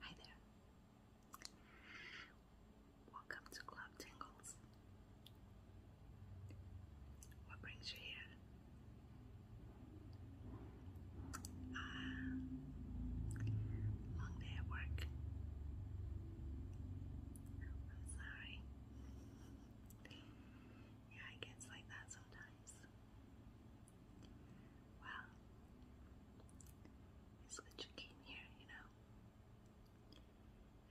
Hi there. Welcome to Club Tingles. What brings you here? Uh, long day at work. I'm sorry. Yeah, it gets like that sometimes. Well, it's good you came here, you know.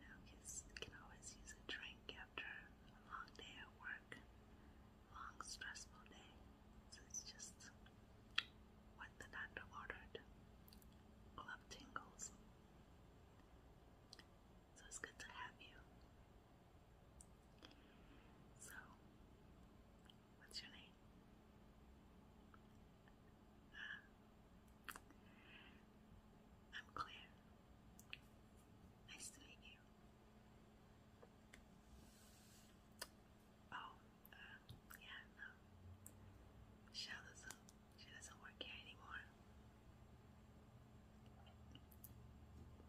You know, kids can always use a drink after a long day at work, long stressful day. So it's just what the doctor ordered. Club tingles. So it's good to have you. So, what's your name? I'm Claire. Nice to meet you. Oh, uh, yeah, no. Michelle doesn't, she doesn't work here anymore.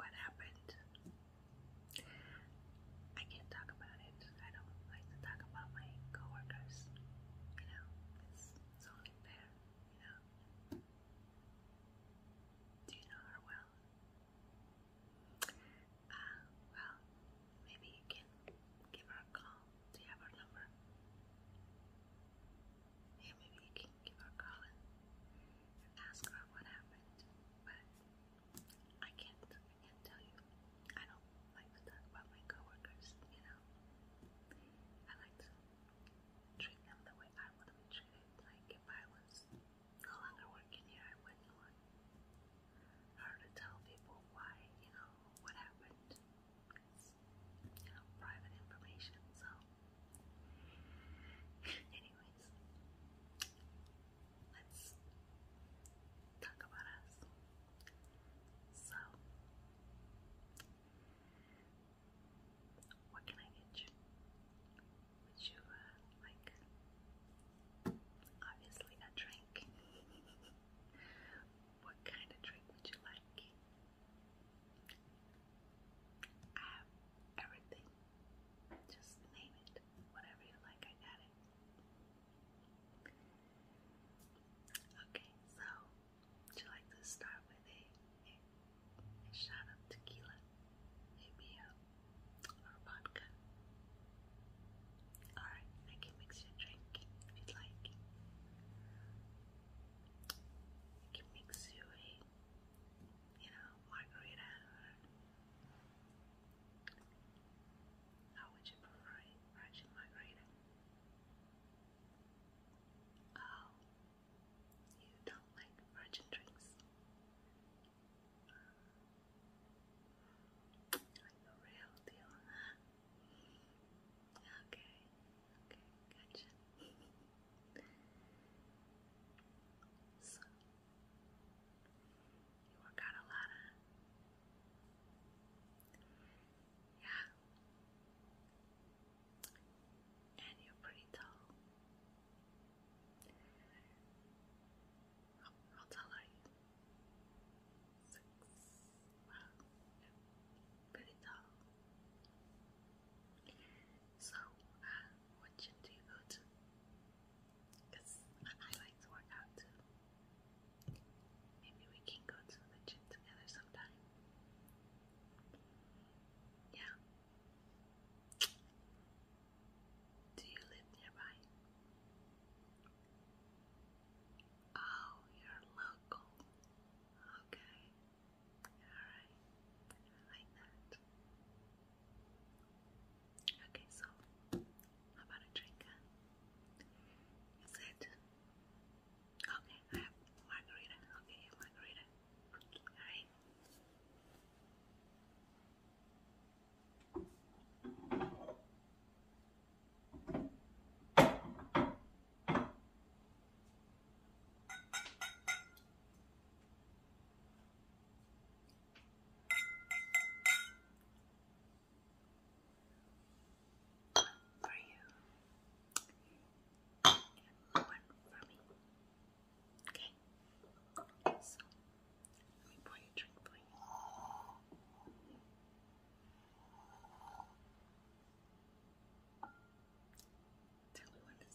What happened? I can't talk about it. I don't like to talk about my coworkers. You know, it's, it's only fair. You know. Do you know her well? Uh, well, maybe you can give her a call. Do you have her number? Yeah, maybe you can give her a call and ask her what happened. But I can't, I can't tell you. I don't like to talk about my coworkers, you know. I like treat them the way I want be treated. Like if I was no longer working here, I wouldn't want her to tell people why, you know, what happened. It's, you know, private information. So, anyways, let's talk about us. So, what can I get you? Would you uh, like, obviously, a drink? what kind of drink would you like? I have everything. Just name it, whatever you like, I got it. Okay, so would you like to start with a, a, shot of tequila, maybe a or vodka? Alright, I can mix your drink if you'd like. I can mix you a, you know, margarita or how would you prefer it? Ratchet Oh, you don't like virgin drinks? Like the real deal, huh? Okay, okay, gotcha. so, you work out a lot, Yeah. And you're pretty tall. How, tall are you? Six. Wow. Pretty tall. So, uh, what do you do? Because I like to work out too. Maybe we can go to the gym together sometime. Yeah. Do you live nearby? Oh, you're local. Okay. Alright. like that. Okay, so how about a drink? Is it? Okay, I have margarita. Okay, margarita. Alright for you and one for me. Okay? So, let me pour your drink for Tell me when to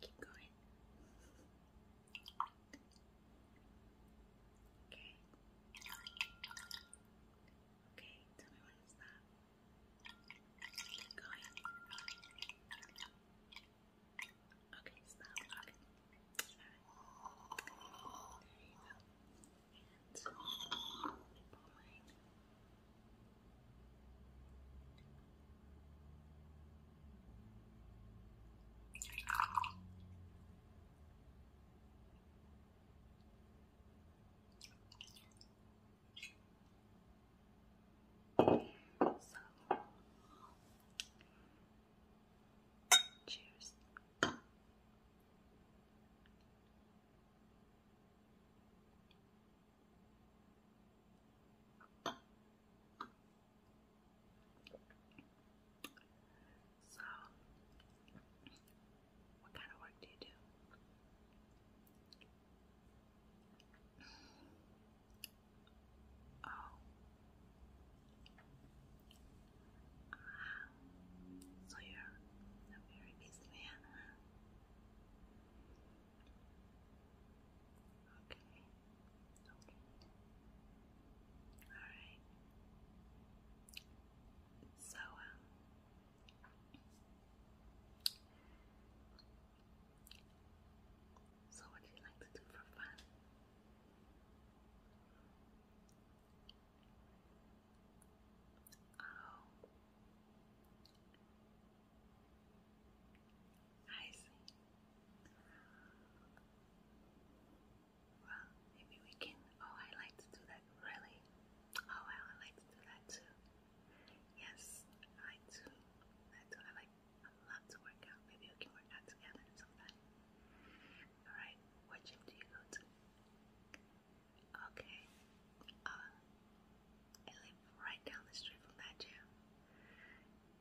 Keep going. Okay. Okay, tell me what is that? Going. Okay, stop. Okay. Alright. There you go. And pulling. Okay. So, cheers. So, what kind of work do you do? Oh. Ah. So you're a very busy man, Okay. Okay. Alright. So, um, so, what do you like to do for fun? Oh, I see. Well, maybe we can. Oh, I like to do that. Really? Oh, well, I like to do that too. Yes, I do. I do. I like. I love to work out. Maybe we can work out together sometime. All right. What gym do you go to? Okay. Uh, I live right down the street from that gym.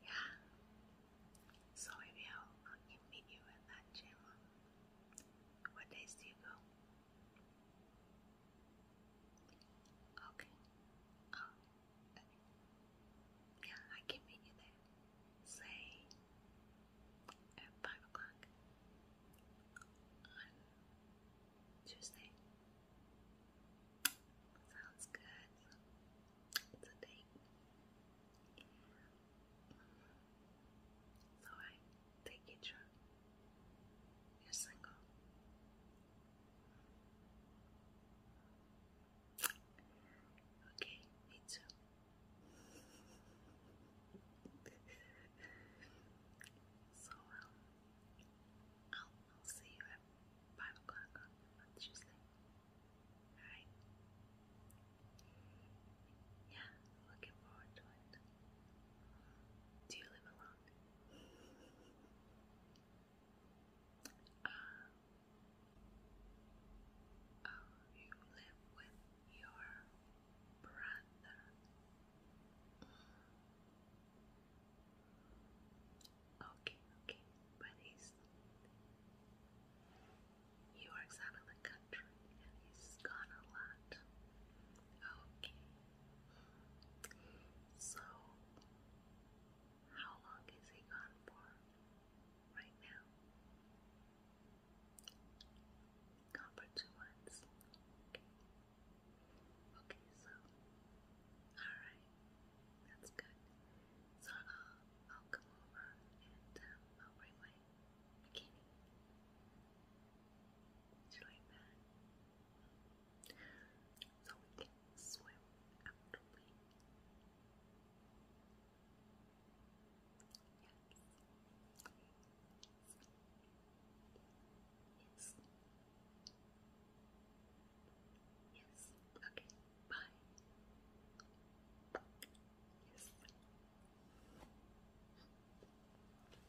Yeah. So maybe I'll, I'll meet you at that gym. What days do you go? Okay. Oh. yeah, I can meet you there. Say at five o'clock on Tuesday. Sounds good. It's a date. So I take it through. You're single. Okay, me too. so, um, I'll, see you at 5 o'clock on, Tuesday. Alright? Yeah, looking forward to it. Do you live alone? Uh, oh, you live with your brother. Okay, but he's. He works out of the country and he's gone a lot. Okay, so, how long is he gone for right now? Gone for two months. Okay. Okay, so, alright. That's good. So, I'll, come over and um, I'll bring my bikini. Would you that? so we can swim after we. Yes. Yes. Yes. Okay. Bye. Yes.